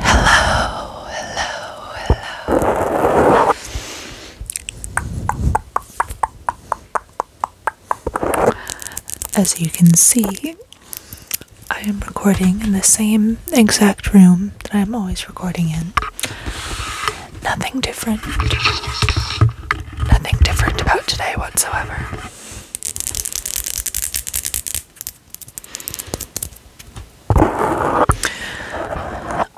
Hello, hello, hello. As you can see, I am recording in the same exact room that I'm always recording in. Nothing different. Nothing different about today whatsoever.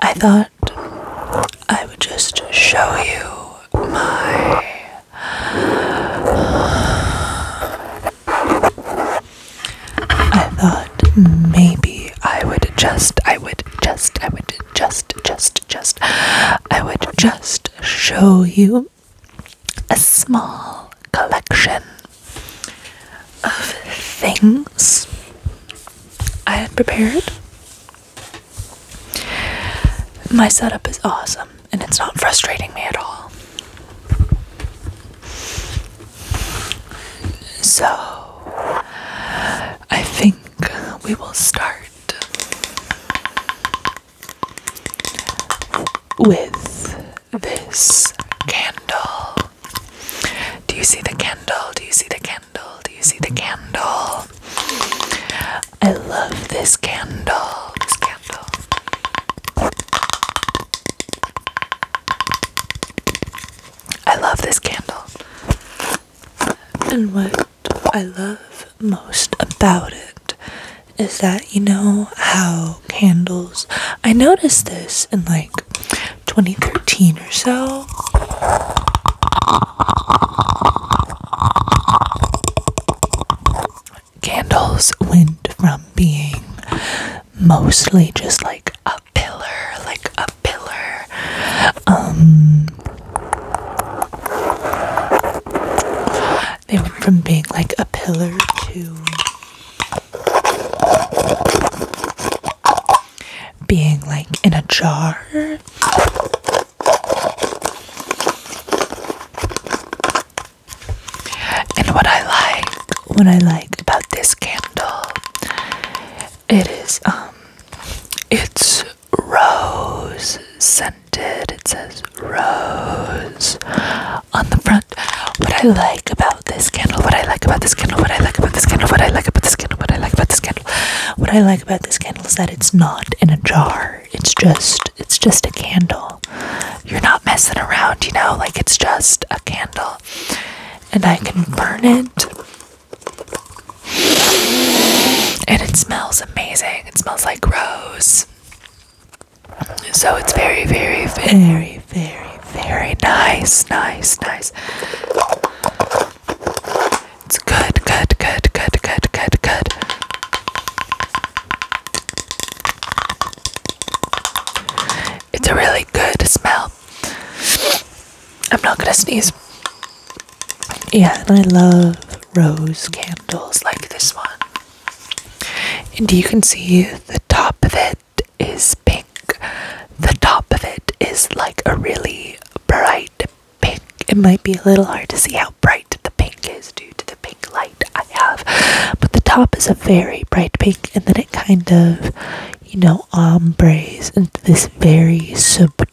I thought I would just show you my I thought maybe I would just I would just I would just, just, just, I would just show you a small collection of things I had prepared. My setup is awesome and it's not frustrating me at all. So, I think we will start with this candle. Do you see the candle? Do you see the candle? Do you see the candle? I love this candle. This candle. I love this candle. And what I love most about it is that you know how candles I noticed this in like 2013 or so candles went from being mostly just like a pillar like a pillar um they went from being like a pillar to being like in a jar. And what I like, what I like about this candle, it is um it's rose scented. It says rose on the front. What I like about this candle, what I like about this candle, what I like about this candle, what I like about this candle, what I like about this candle. What I like about this candle is that it's not in a jar. It's just it's just a candle. You're not messing around, you know, like it's just a candle. And I can burn it and it smells amazing. It smells like rose. So it's very, very, very, very, very nice, nice, nice. It's good, good, good, good, good, good, good. It's a really good smell. I'm not gonna sneeze. Yeah, and I love rose candles like this one. And you can see the top of it is pink. The top of it is like a really bright pink. It might be a little hard to see how bright the pink is due to the pink light I have, but the top is a very bright pink, and then it kind of, you know, ombres into this very subdued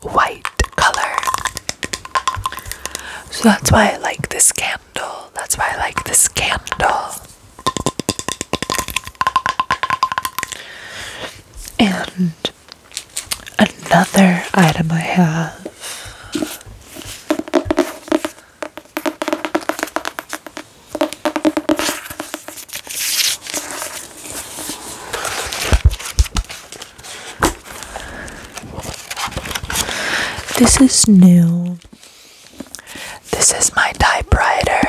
white color. So that's why I like this candle. That's why I like this candle. And another item I have. This is new. This is my typewriter.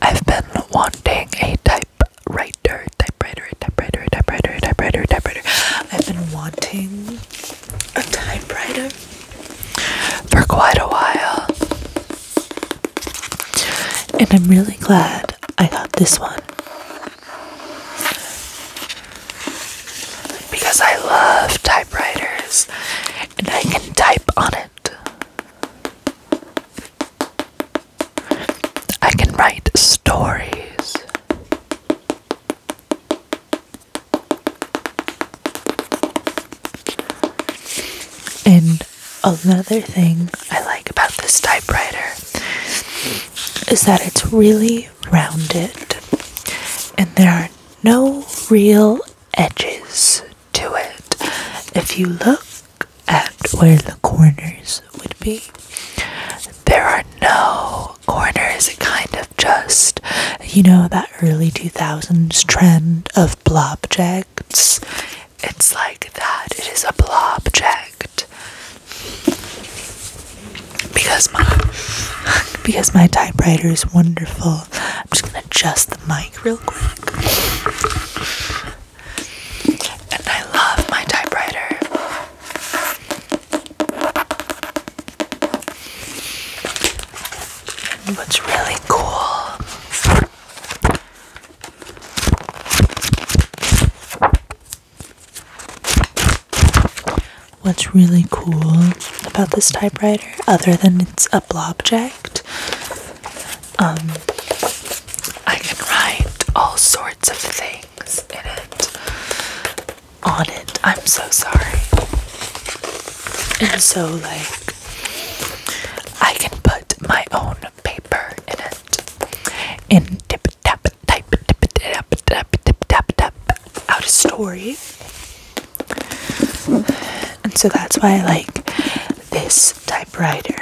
I've been wanting a typewriter, typewriter, typewriter, typewriter, typewriter, typewriter. I've been wanting a typewriter for quite a while. And I'm really glad I got this one because I love typewriters and I can type on it. I can write stories. And another thing I like about this typewriter is that it's really rounded and there are no real edges to it. If you look at where the corners would be, there are no corners. It kind of just, you know, that early 2000s trend of blob objects. It's like that. It is a blob object. Because my because my typewriter is wonderful. I'm just gonna adjust the mic real quick. And I love my typewriter. what's really cool What's really cool about this typewriter, other than it's a blob object, um, I can write all sorts of things in it. On it. I'm so sorry. And so, like, I can put my own paper in it heart. And tip tap type tip tap tap tip tap tap out a story. And so that's why I like this typewriter.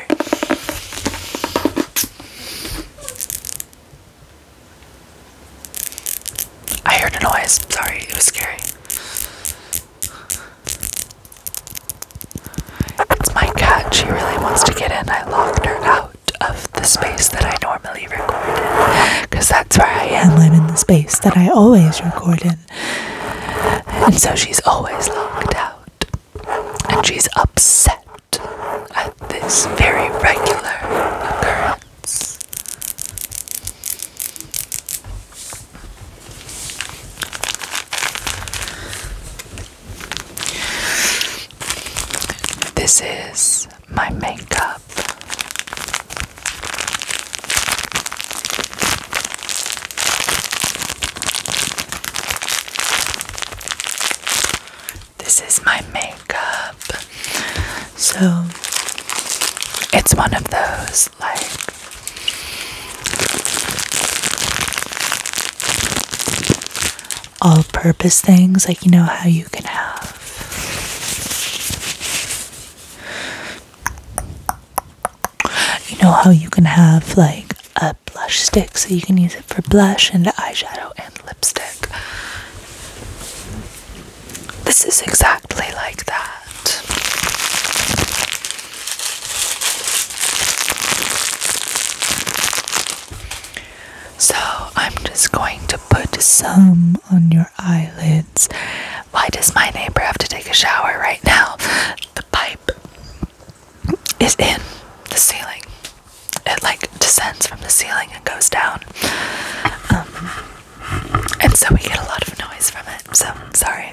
I heard a noise. Sorry, it was scary. It's my cat. She really wants to get in. I locked her out of the space that I normally record in because that's where I am. live in the space that I always record in. And so she's always locked out. And she's upset at this very regular occurrence. This is my makeup. This is my makeup. So it's one of those like all purpose things, like you know how you can have you know how you can have like a blush stick so you can use it for blush and eyeshadow and lipstick. This is exactly like that. So I'm just going to put some on your eyelids. Why does my neighbor have to take a shower right now? The pipe is in the ceiling. It like descends from the ceiling and goes down. Um, and so we get a lot of noise from it. So sorry.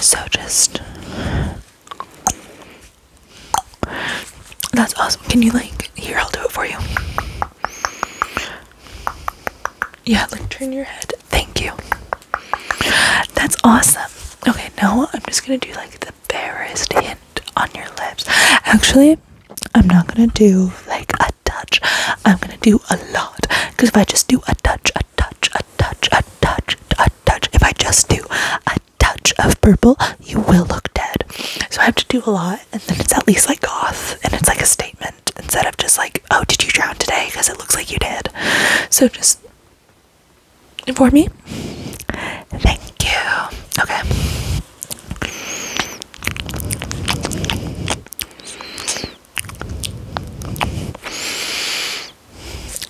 so just that's awesome. Can you like here? I'll do it for you. Yeah, like turn your head. Thank you. That's awesome. Okay, now I'm just gonna do like the barest hint on your lips. Actually, I'm not gonna do like a touch, I'm gonna do a lot. Because if I just do a touch, a touch, a touch, a touch, a touch, if I just do a touch of purple, you will look dead. So I have to do a lot, and then it's at least like goth, and it's like a statement instead of just like, oh, did you drown today? Because it looks like you did. So just inform me. Thank you. Okay.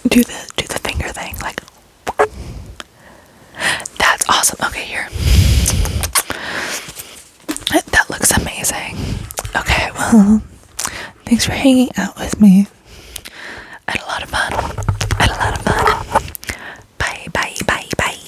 Do the do the finger thing like That's awesome. Okay, here. That looks amazing. Okay, well, thanks for hanging out with me. I had a lot of fun. had a lot of fun. Bye, bye, bye, bye.